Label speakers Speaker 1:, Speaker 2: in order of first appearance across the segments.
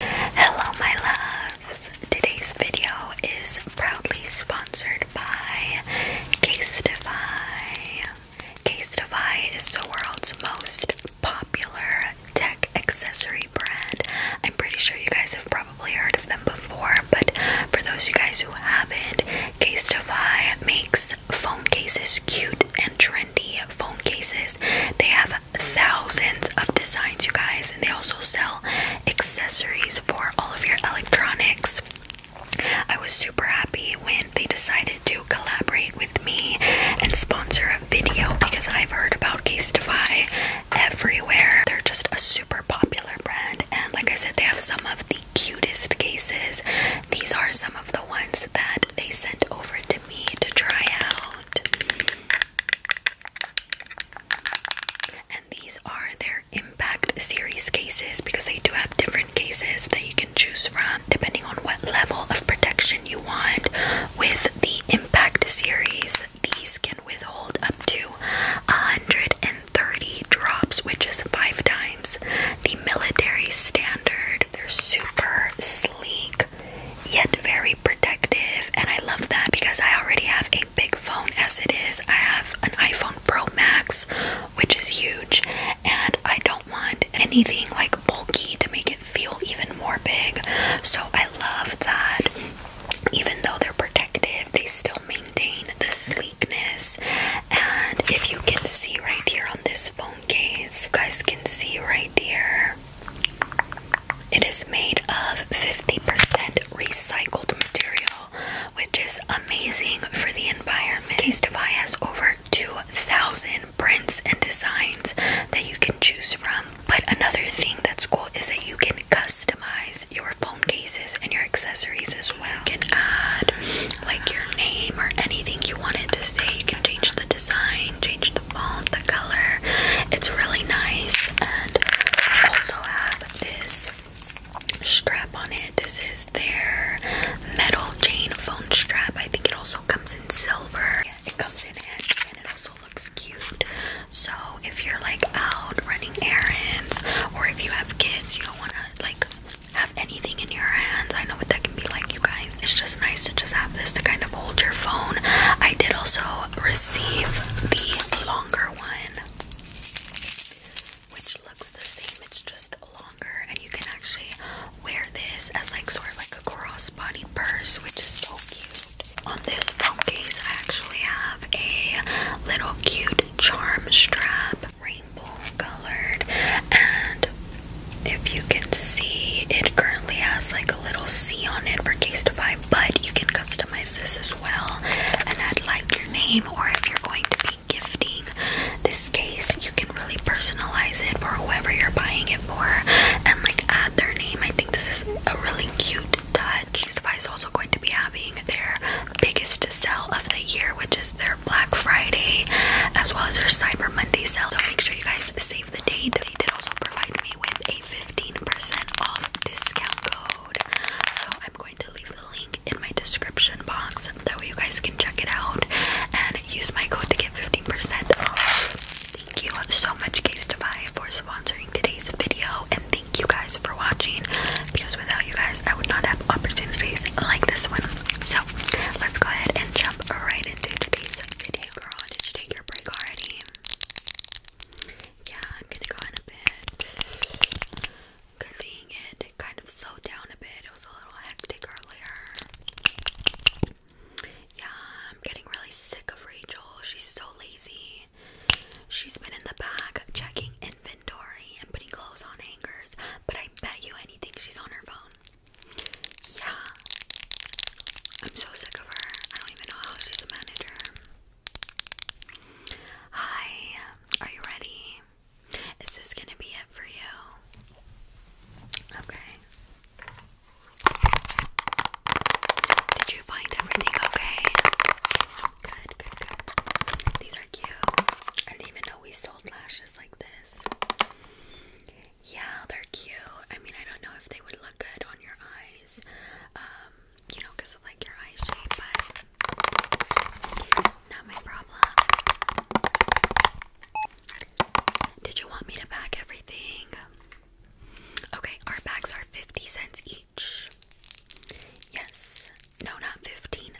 Speaker 1: Hello, my loves. Today's video is proudly sponsored by Casetify. Casetify is the world's most popular tech accessory brand. I'm pretty sure you guys have probably heard of them before, but for those of you guys who haven't, Casetify makes phone cases cute and trendy phone cases. They have thousands of designs, you guys, and they also sell accessories for all of your electronics. I was super happy when they decided to collaborate with me and sponsor a video because I've heard about Casetify everywhere. They're just a super popular brand, and like I said, they have some of the cutest cases. These are some of the ones that they sent over to me to try out. And these are their impact series cases because they do have different cases that you can choose from depending on what level of protection you want. With the impact series, these can withhold up to 130 drops, which is five times the military standard. They're super sleek yet very protective, and I love that because I already have a big phone as it is. I have an iPhone Pro Max, which is huge, and I don't want anything like bulky to make it feel even more big. So I love that even though they're protective, they still maintain the sleekness. And if you can see right here on this phone case, you guys can see right here it is made of 50% recycled material, which is amazing for the environment. CaseTiFY has over 2,000 prints and designs that you can choose from. But another thing that's cool is that you can customize your phone cases and your accessories as well. You can add like your name or anything you want it to say change the design, change the font, the color. It's really nice. And I also have this strap on it. This is their metal chain phone strap. I think it also comes in silver. it comes in handy and it also looks cute. So if you're like out running errands or if you have kids, you don't want to like have anything in your hands. I know what that can be like guys. It's just nice to just have this to kind of hold your phone. I did also receive the longer one, which looks the same. It's just longer, and you can actually wear this as like sort of like a crossbody purse, which is so cute. On this phone case, I actually have a little cute charm strap, rainbow colored, and if you can see, it currently has like a little C on it for case to but you can customize this as well and add like your name, or if you're going to be gifting this case, you can really personalize it for whoever you're buying it for and like add their name. I think this is a really cute touch. Case to buy is also going to be having their biggest sale of the year, which is their Black Friday as well as their Cyber Monday sale. So make sure you guys save the day They did also provide me with a 15% off discount code. So I'm going to leave the link in my description box. That way you guys can check it out and use my code to get 15% off. Thank you so much, Case Defy, for sponsoring today's video. And thank you guys for watching. Because without you guys, I would not have opportunities like this one. So let's go ahead and jump right into today's video, girl. Did you take your break already? Yeah, I'm gonna go in a bit. it kind of slowed down a bit. It was a little hectic earlier. Yeah, I'm getting really sick of Rachel. She's so lazy. She's been in the back checking inventory and putting clothes on hangers, but I bet you anything she's on her phone. Yeah. I'm so sick of her. I don't even know how she's a manager. Hi. Are you ready? Is this gonna be it for you? Okay. Did you find everything okay? Good, good, good. These are cute. I didn't even know we sold lashes like this. Yeah, they're cute. I mean, I don't know if they would look good on your eyes, um, you know, because of like your eye shape, not my problem. Did you want me to pack everything? Okay, our bags are 50 cents each. Yes. No, not 15.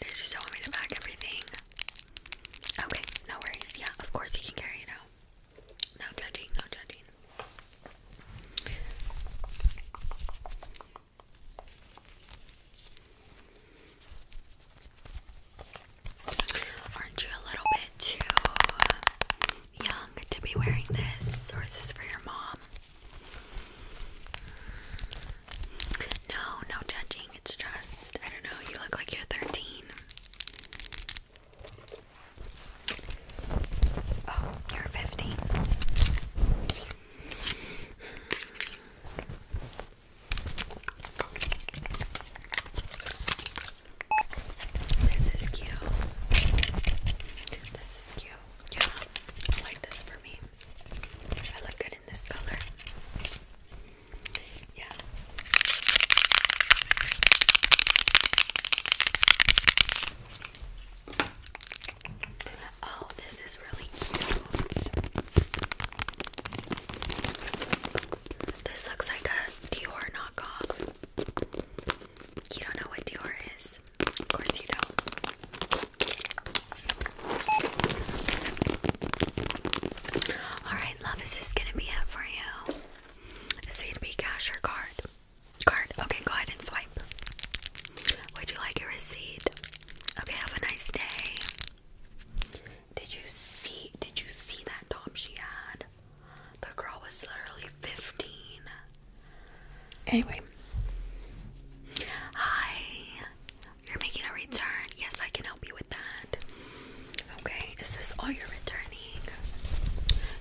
Speaker 1: Did you still want me to pack everything? Okay, no worries. Yeah, of course you can carry it No judging, no judging. Aren't you a little bit too young to be wearing this? Or is this for your mom? No, no judging. It's just, I don't know, you look like you're 13. Oh, you're 15. This is cute. This is cute. Yeah, I like this for me. I look good in this color. Yeah. Oh, this is really cute. This looks like a Dior knockoff. You don't know what Dior is. Of course you don't. Alright, love, is gonna be it for you? Is to be cash or card? Card. Okay, go ahead and swipe. Would you like your receipt? Okay, have a nice day. Did you see did you see that top she had? The girl was literally 15. Anyway. Hi. You're making a return. Yes, I can help you with that. Okay, is this all you're returning?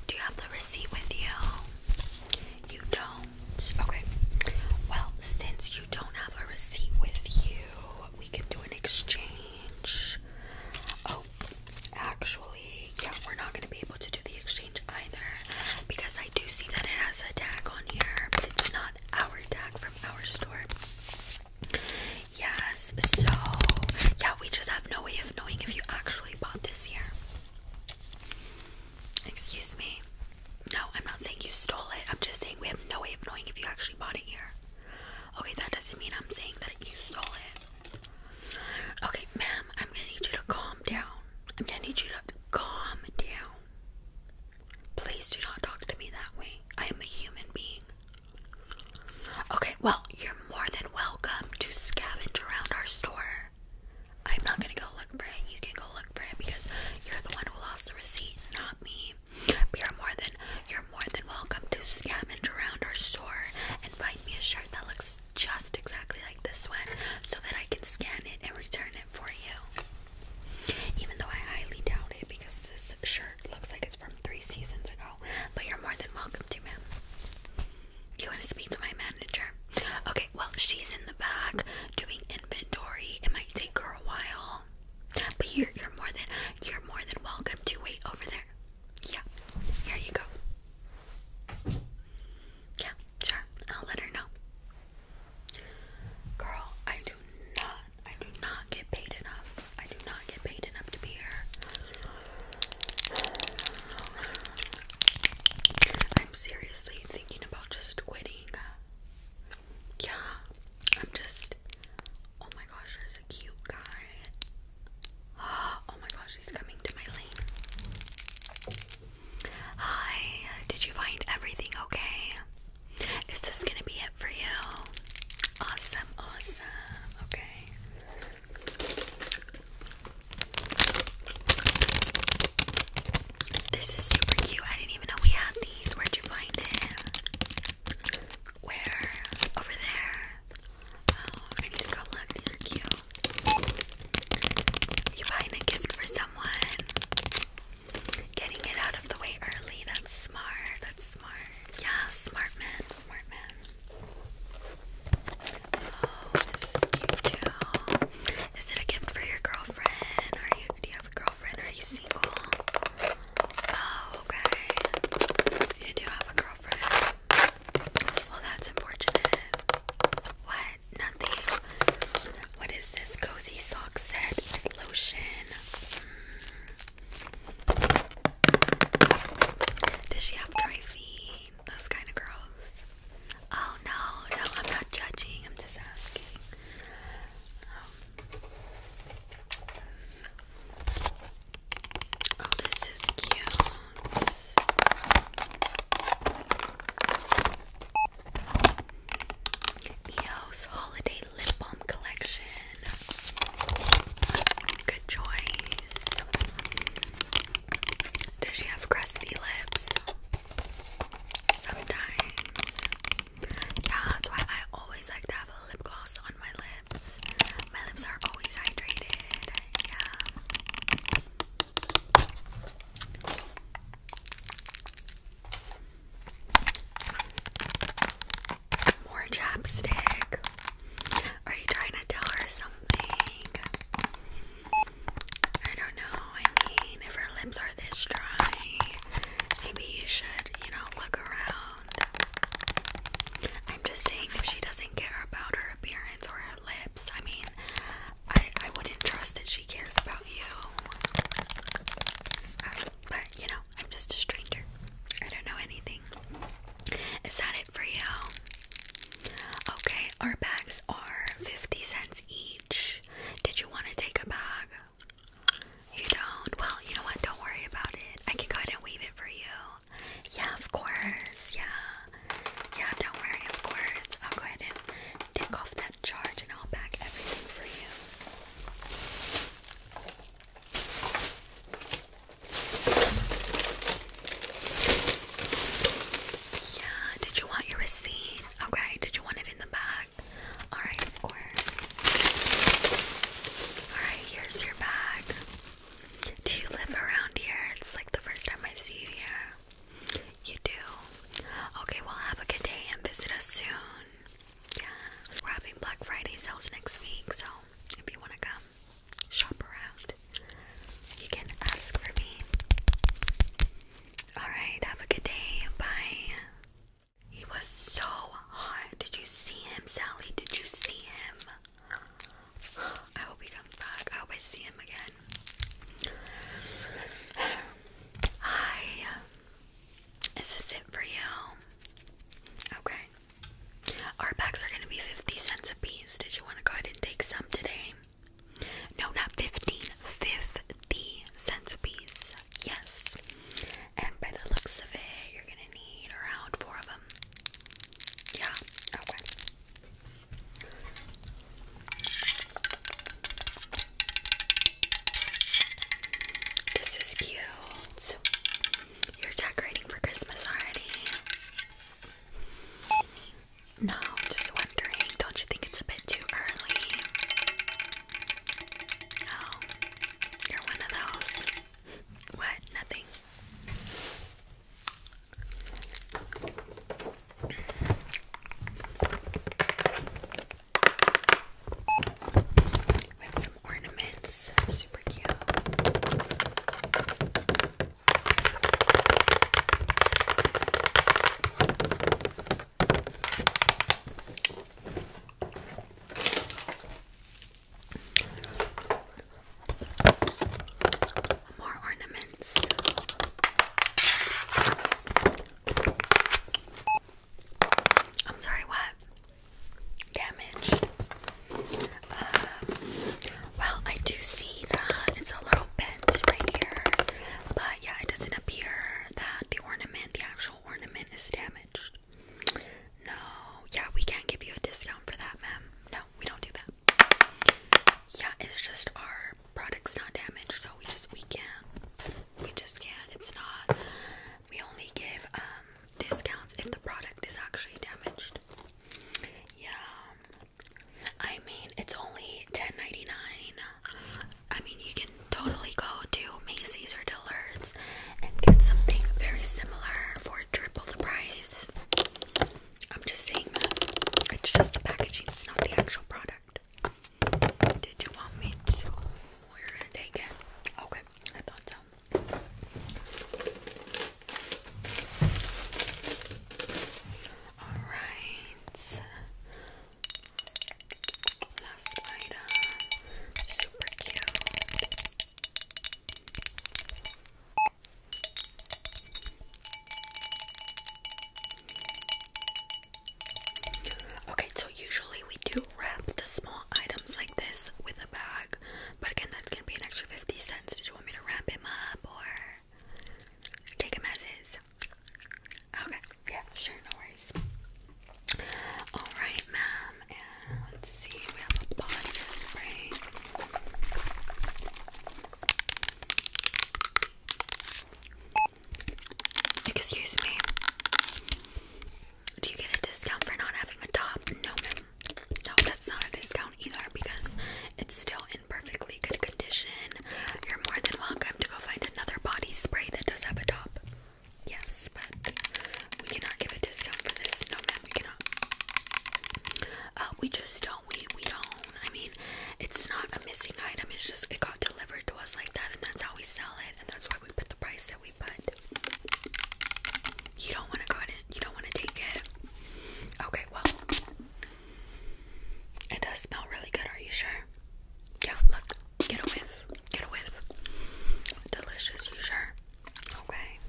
Speaker 1: Do you have the receipt with you? You don't. Okay. Well, since you don't have a receipt with you, we can do an exchange. Oh, actually, yeah, we're not going to be able to do the exchange either because I do see that it has a tag on here, but it's not our tag from our store. Yes, so yeah, we just have no way of knowing if you actually bought this here. Excuse me. No, I'm not saying you stole it. I'm just saying we have no way of knowing if you actually bought it here. Okay, that doesn't mean I'm saying that you stole it. Okay, ma'am, I'm gonna need you to calm down. I'm gonna need you to calm down. Please do not talk to me that way. I am a human being. Okay, well, you're more than welcome to scavenge around our store. I'm not gonna go look for it. You can go look for it because you're the one who lost the receipt, not me. you're more than you're more than welcome to scavenge around our store and find me a shirt that looks just exactly like this one so that I can scan it and return it for you. Even though I highly doubt it because this shirt looks like it's from three seasons ago. But you're more than welcome to, ma'am. You want to speak to my manager? Okay, well, she's in the back doing inventory. It might take her a while. But you're you're more than you're more than welcome to wait over there. Yeah. Here you go. Yeah, sure. I'll let her know. Girl, I do not, I do not get paid enough. I do not get paid enough to be here. I'm seriously thinking about just quitting. Yeah, I'm just. Oh my gosh, there's a cute guy. Oh my gosh, he's coming to my lane. Hi, did you find everything okay? Is this gonna be it for you? Awesome, awesome. Okay. This is super cute. I didn't even know we had these. Where'd you find it? Where? Over there. Oh, I need to go look. These are cute. You buying a gift for someone, getting it out of the way early. That's smart. That's smart. Yeah, smart man. Smart man. Oh, this is too. Is it a gift for your girlfriend? Are you? Do you have a girlfriend? Are you single? Oh, okay. You do have a girlfriend. Well, that's unfortunate. What? Nothing. What is this cozy sock set with lotion? Hmm. Does she have dry feet? That's kind of gross. Oh no, no, I'm not judging. I'm just asking. Um, oh, this is cute. EOS Holiday Lip Balm Collection. Good choice. Does she have crusty lips? Sometimes. Yeah, that's why I always like to have a lip gloss on my lips. My lips are always hydrated. Yeah. More chapstick. Are you trying to tell her something? I don't know. I mean, if her lips are this dry, maybe you should, you know, look around. I'm just saying, she doesn't care about her appearance or lips. I mean, I I wouldn't trust that she cares about you. Um, but you know, I'm just a stranger. I don't know anything. Is that it for you? Okay, our bags are 50 cents each. Did you want to take a bag? You don't? Well, you know what? Don't worry about it. I can go ahead and weave it for you. Yeah, of course. Yeah. Yeah, don't worry, of course. I'll go ahead and take off that charge and I'll pack everything for you. Yeah, did you want your receipt? Okay, did you want it in the bag? Alright, of course. Alright, here's your bag. Do you live around here? It's like the first time I see you here. You do? Okay, well, have a good day and visit us soon. Yeah. We're having Black Friday sales next week, so if you want to come shop around, you can ask for me. Alright, have a good day. Bye. He was so hot. Did you see him, Sally? Did you see him? I hope he comes back. I hope I see him again. Hi. Uh, is this it for you? Okay. Our packs are going to be 50 cents a piece. Did you want to go ahead and take some today? No, not 15. 50 cents a piece. Yes. And by the looks of it, you're going going need around four of them. Yeah, This is cute. You're decorating for Christmas already. No, just wondering, don't you think it's a bit too early? No, you're one of those. What? Nothing. We have some ornaments, super cute. More ornaments. I'm sorry, what? Damaged. Um, well, I do see that it's a little bent right here, but yeah, it doesn't appear that the ornament, the actual ornament, is damaged. No, yeah, we can't give you a discount for that, ma'am. No, we don't do that. Yeah, it's just our product's not damaged, so we just we can't. We just can't. It's not. We only give um, discounts if the product is actually damaged. Yeah. I mean, it's only ten ninety nine. I mean, you can totally go to Macy's or Dillard's and get something very similar for triple the price. I'm just saying that. It's just the packaging, it's not the actual product. Did you want me to? You're gonna take it? Okay, I thought so. Alright. Last item. Super cute. Okay, so usually we do wrap the small items like this with a bag, but again, that's gonna be an extra 50 cents. Did you want me to wrap him up or take him as is? Okay, yeah, sure, no worries. Alright, ma'am let's see, we have a body spray. Excuse me. Do you get a discount for not having a top? No, No, that's not a discount either because it's still in perfectly good condition. You're more than welcome to go find another body spray that does have a top. Yes, but we cannot give a discount for this. No, ma'am, we cannot. Uh, we just don't. We we don't. I mean, it's not a missing item. It's just it got delivered to us like that, and that's how we sell it, and that's why we put the price that we put. You don't want to go ahead you don't want to take it. Okay, well, it does smell really good. Are you sure? Yeah. Look, get a whiff. Get a whiff. Delicious. You sure? Okay.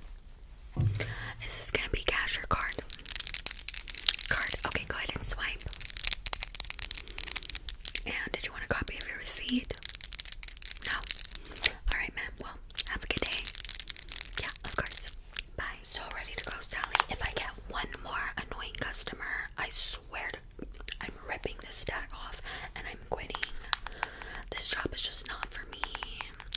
Speaker 1: Is this gonna be cash or card? Card. Okay, go ahead and swipe. And did you want a copy of your receipt? No. Alright, ma'am. Well, have a good day. Yeah, of course. Bye. So ready to go, Sally. If I get one more annoying customer, I swear to I'm ripping this tag off and I'm. I'm quitting. This job is just not for me.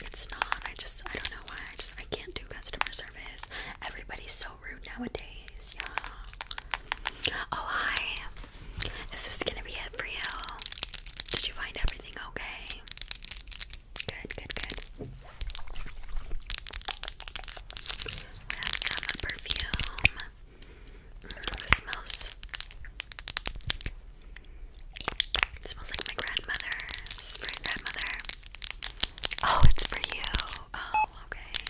Speaker 1: It's not. I just I don't know why. I just I can't do customer service. Everybody's so rude nowadays. Yeah. Oh hi. Is this gonna be it for you? Did you find everything okay? Good, good, good. Have some perfume. Mm, smells. smells like my grandmother. This grandmother. Oh, it's for you. Oh, okay.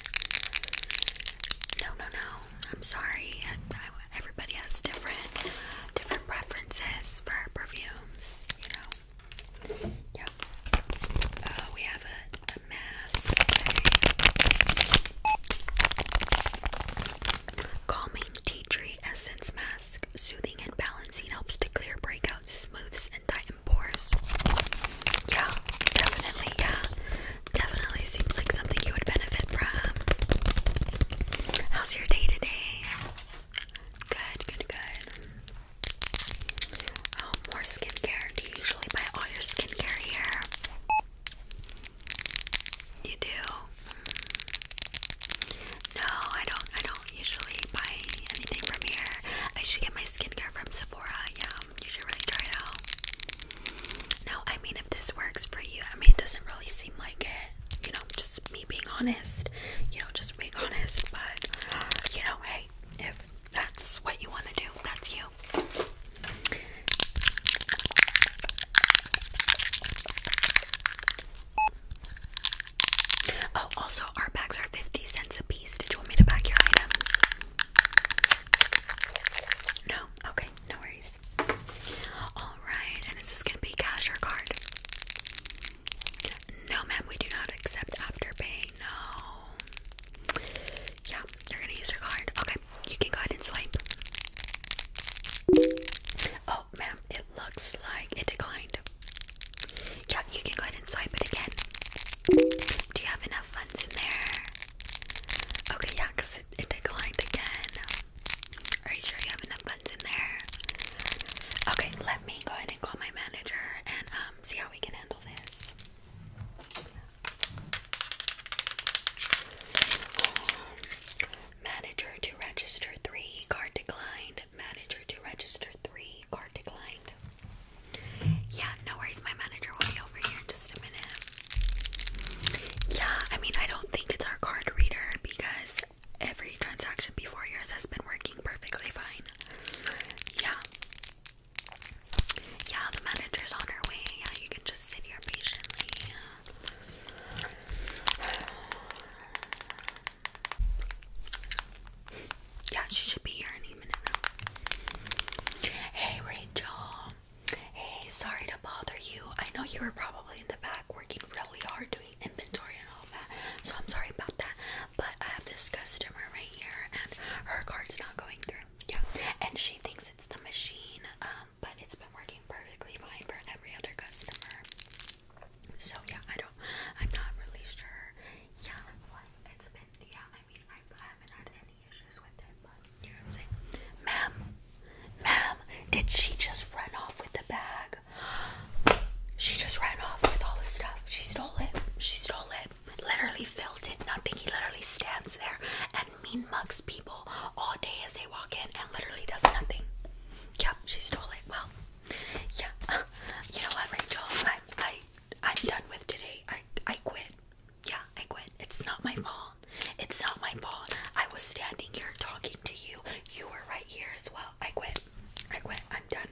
Speaker 1: No, no, no. I'm sorry. everybody has different, different preferences for perfumes. You know. Yep. Uh, we have a, mask. Calming tea tree essence mask, soothing and balancing, helps to clear breakouts, smooths, and tighten pores. Yeah, definitely, yeah. Definitely seems like something you would benefit from. How's your day today? Good, good, good. Oh, more skincare. Do you usually buy all your skincare here? You do? No, I don't. I don't usually buy anything from here. I should get my skincare from Sephora. Yeah, you should really try it out. No, I mean if this works for you. I mean it doesn't really seem like it. You know, just me being honest. You know, just being honest. But you know, hey, if that's what you want to do, that's you. Oh, also, our bags are 50 cents a piece. Did you want me to bag your items? No? Okay, no worries. Alright, and is this going to be cash or card? No, ma'am, we do not accept Afterpay. No. Yeah, you're going to use your card. Okay you can go ahead and swipe. Oh, ma'am, it looks like it declined. Yeah, you can go ahead and swipe it again. Do you have enough funds in there? Okay, yeah, it declined again. Are you sure you have enough funds in there? Okay, let me go ahead and call my manager and um see how we can handle this. Um, manager to register three card declined. Manager to register three card declined. Yeah, no worries. My manager will be over here in just a minute. Yeah, I mean, I don't think it's our card reader because every transaction before yours has been working perfectly fine. Yeah. Yeah, the manager's on her way. Yeah, you can just sit here patiently. Yeah, she should be here any minute now. Hey, Rachel. Hey, sorry to bother you. I know you were probably in the back working really hard doing inventory and all that, so I'm sorry about that. But I have this customer right here, and her card's not going through. Yeah, and she thinks it's the machine, um, but it's been working perfectly fine for every other customer. So yeah, I don't, I'm not really sure. Yeah, it's been. Yeah, I mean, I, haven't had any issues with it, you know what I'm saying. Ma'am, ma'am, did she just run off with the bag? She just ran off with all the stuff. She stole it. She stole it literally filled it, think He literally stands there and mean mugs people all day as they walk in and literally does nothing. Yeah, she stole it. Well, yeah. you know what, Rachel? I, I, I'm done with today. I, I quit. Yeah, I quit. It's not my fault. It's not my fault. I was standing here talking to you. You were right here as well. I quit. I quit. I'm done.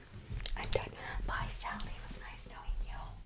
Speaker 1: I'm done. Bye, Sally. It was nice knowing you.